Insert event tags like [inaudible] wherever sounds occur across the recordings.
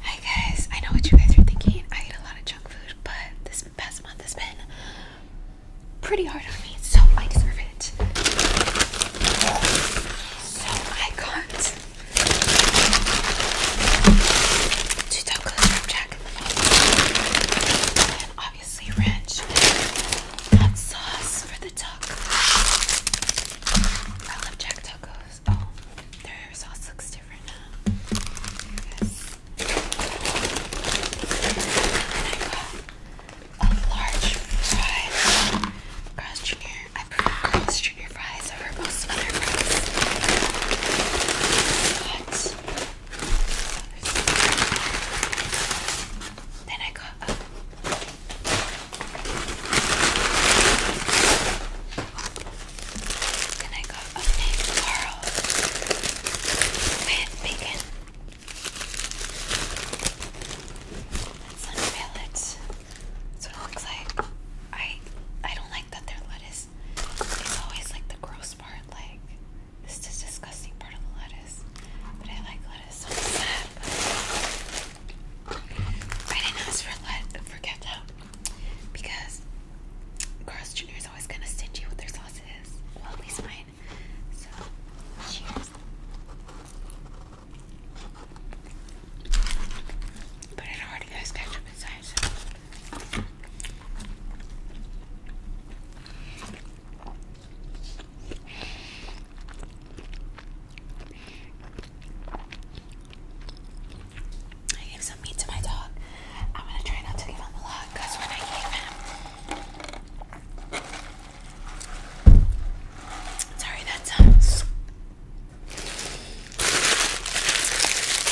Hi guys, I know what you guys are thinking. I eat a lot of junk food, but this past month has been pretty hard on me, so I deserve it. So I got two chocolate flapjack in the and obviously ranch hot sauce for the taco. I love jack tacos sauce. Oh, their sauce looks different now. Yes. I got a large fry. Carl's Jr. I prefer Carl's Jr. fries over most other fries. then I got can I go up Carl with bacon? Let's unveil it. That's what it looks like. I I don't like that their lettuce is always like the gross part, like this is disgusting part of the lettuce. But I like lettuce, so I'm I didn't ask for let for ketchup because Carl's Jr. is always gonna you with their sauces. Well, at least mine. So, cheers. But it already has ketchup inside, I gave some meat to my dog. I'm gonna try not to give him a lot because when I gave him. Sorry, that's a uh,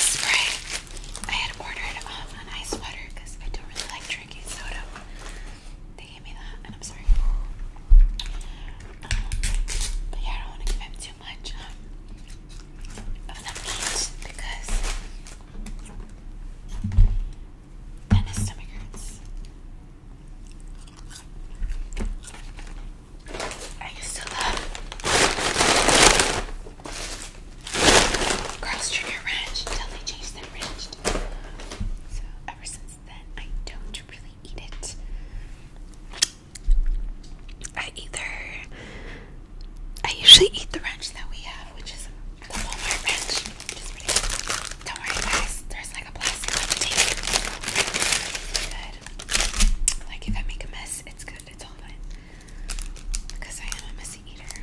spray. I had ordered um, an ice water because I don't really like drinking soda and I'm sorry. Um, but yeah, I don't want to give him too much um, of them each because then his stomach hurts. I used to love Girls Junior Ranch until they ranch. So ever since that I don't really eat it. I either I usually eat the ranch that we have, which is the Walmart ranch, Don't worry guys, there's like a plastic on the Good. Like if I make a mess, it's good, it's all fine. Because I am a messy eater.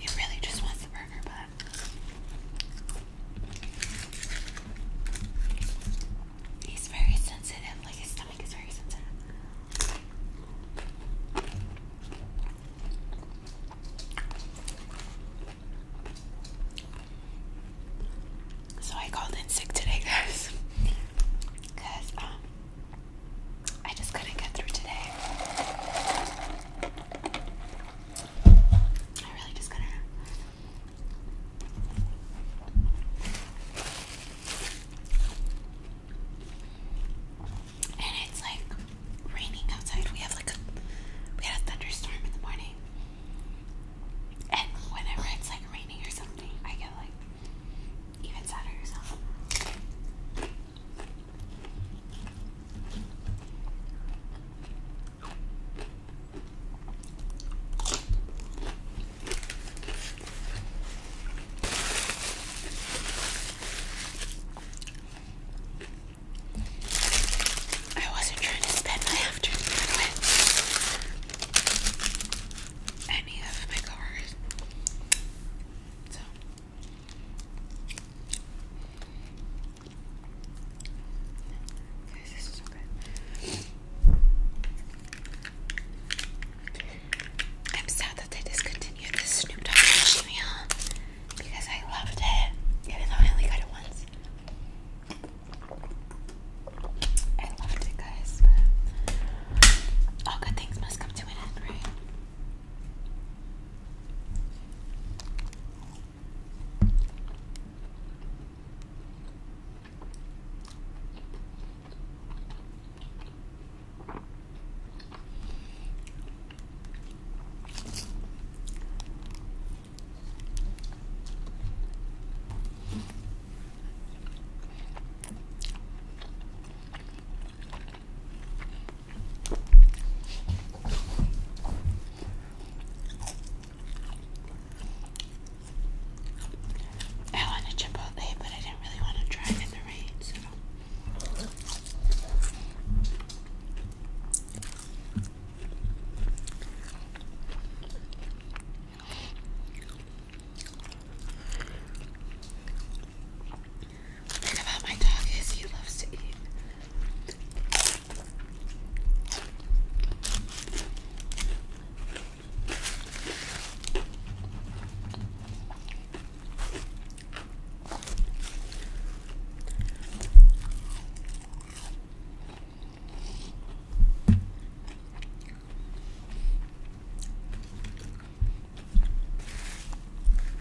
It really just wants the burger but he's very sensitive, like his stomach is very sensitive. So I called in sick today, [laughs] guys, because um, I just couldn't get through today. I really just couldn't. And it's like raining outside. We have like a we had a thunderstorm in the morning. And whenever it's like raining or something, I get like even sadder I wasn't trying to spend my [laughs] afternoon with any of my coworkers. So this is so good. I'm sad that they discontinued this Snoop Dogg Jimmy because I loved it. Even though I only got it once. I loved it, guys. But all good things must come to an end, right? I wanted Chipotle, but I didn't really want to drive in the rain, Thing about my dog is he loves to eat.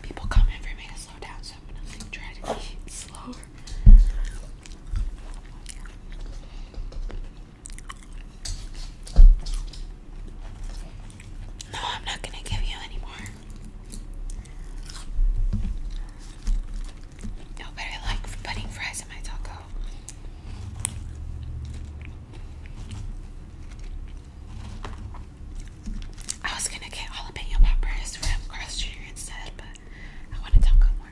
People come in for me to slow down, so I'm gonna try to be slower. No, I'm not gonna give you any no, but I like putting fries in my taco. I was gonna get jalapeno peppers from Cross Junior instead, but I want a taco more.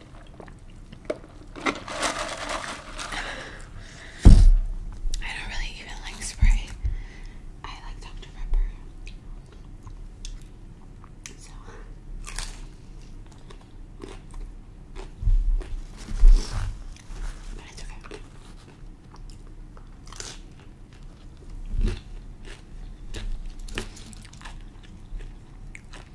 I don't really even like spray. I like Dr. Pepper. So but okay. I'm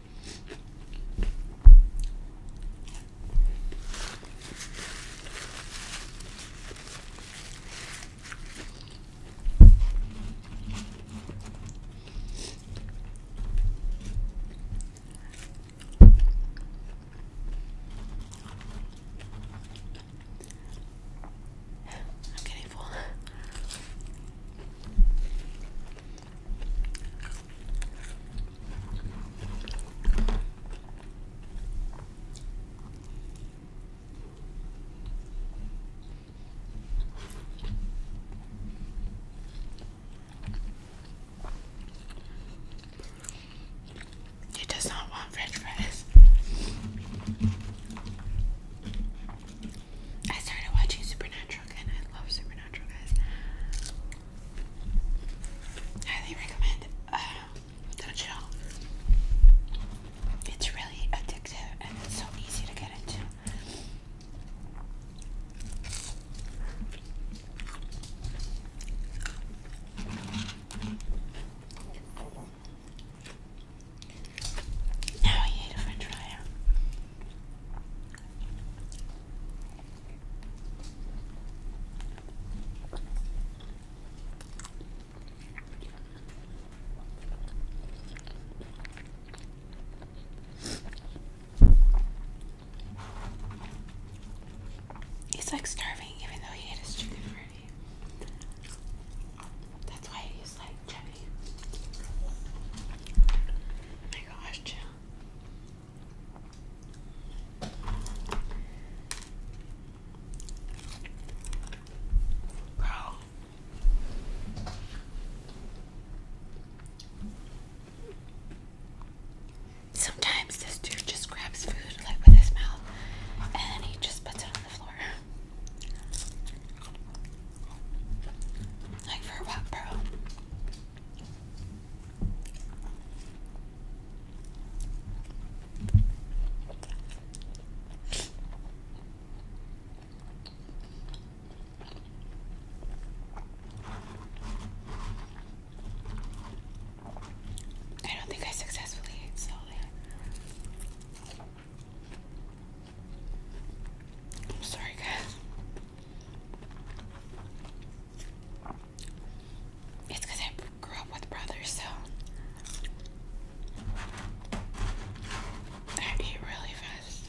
getting full. He does not want french fries. I started watching Supernatural and I love Supernatural, guys. Highly recommend uh, the show. It's really addictive and it's so easy to get into. Now you ate a french fry. He's like starving even though he ate his chicken already. That's why he's like Oh my gosh, Jill. Bro. Sometimes this dude just grabs food like with his mouth and then he just puts it on the Like for what, bro? I don't think I successfully ate slowly. I'm sorry, guys. It's because I grew up with brothers, so I eat really fast.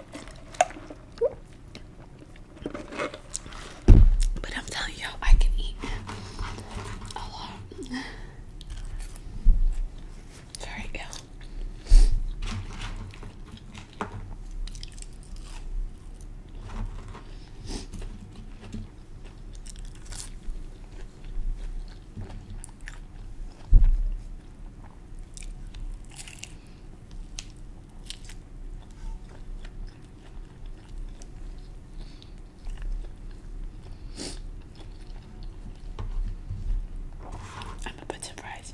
But I'm telling you I can eat a lot. Very ill. I'm a bit surprised.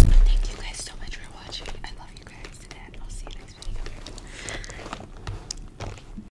Thank you guys so much for watching. I love you guys, and I'll see you next video.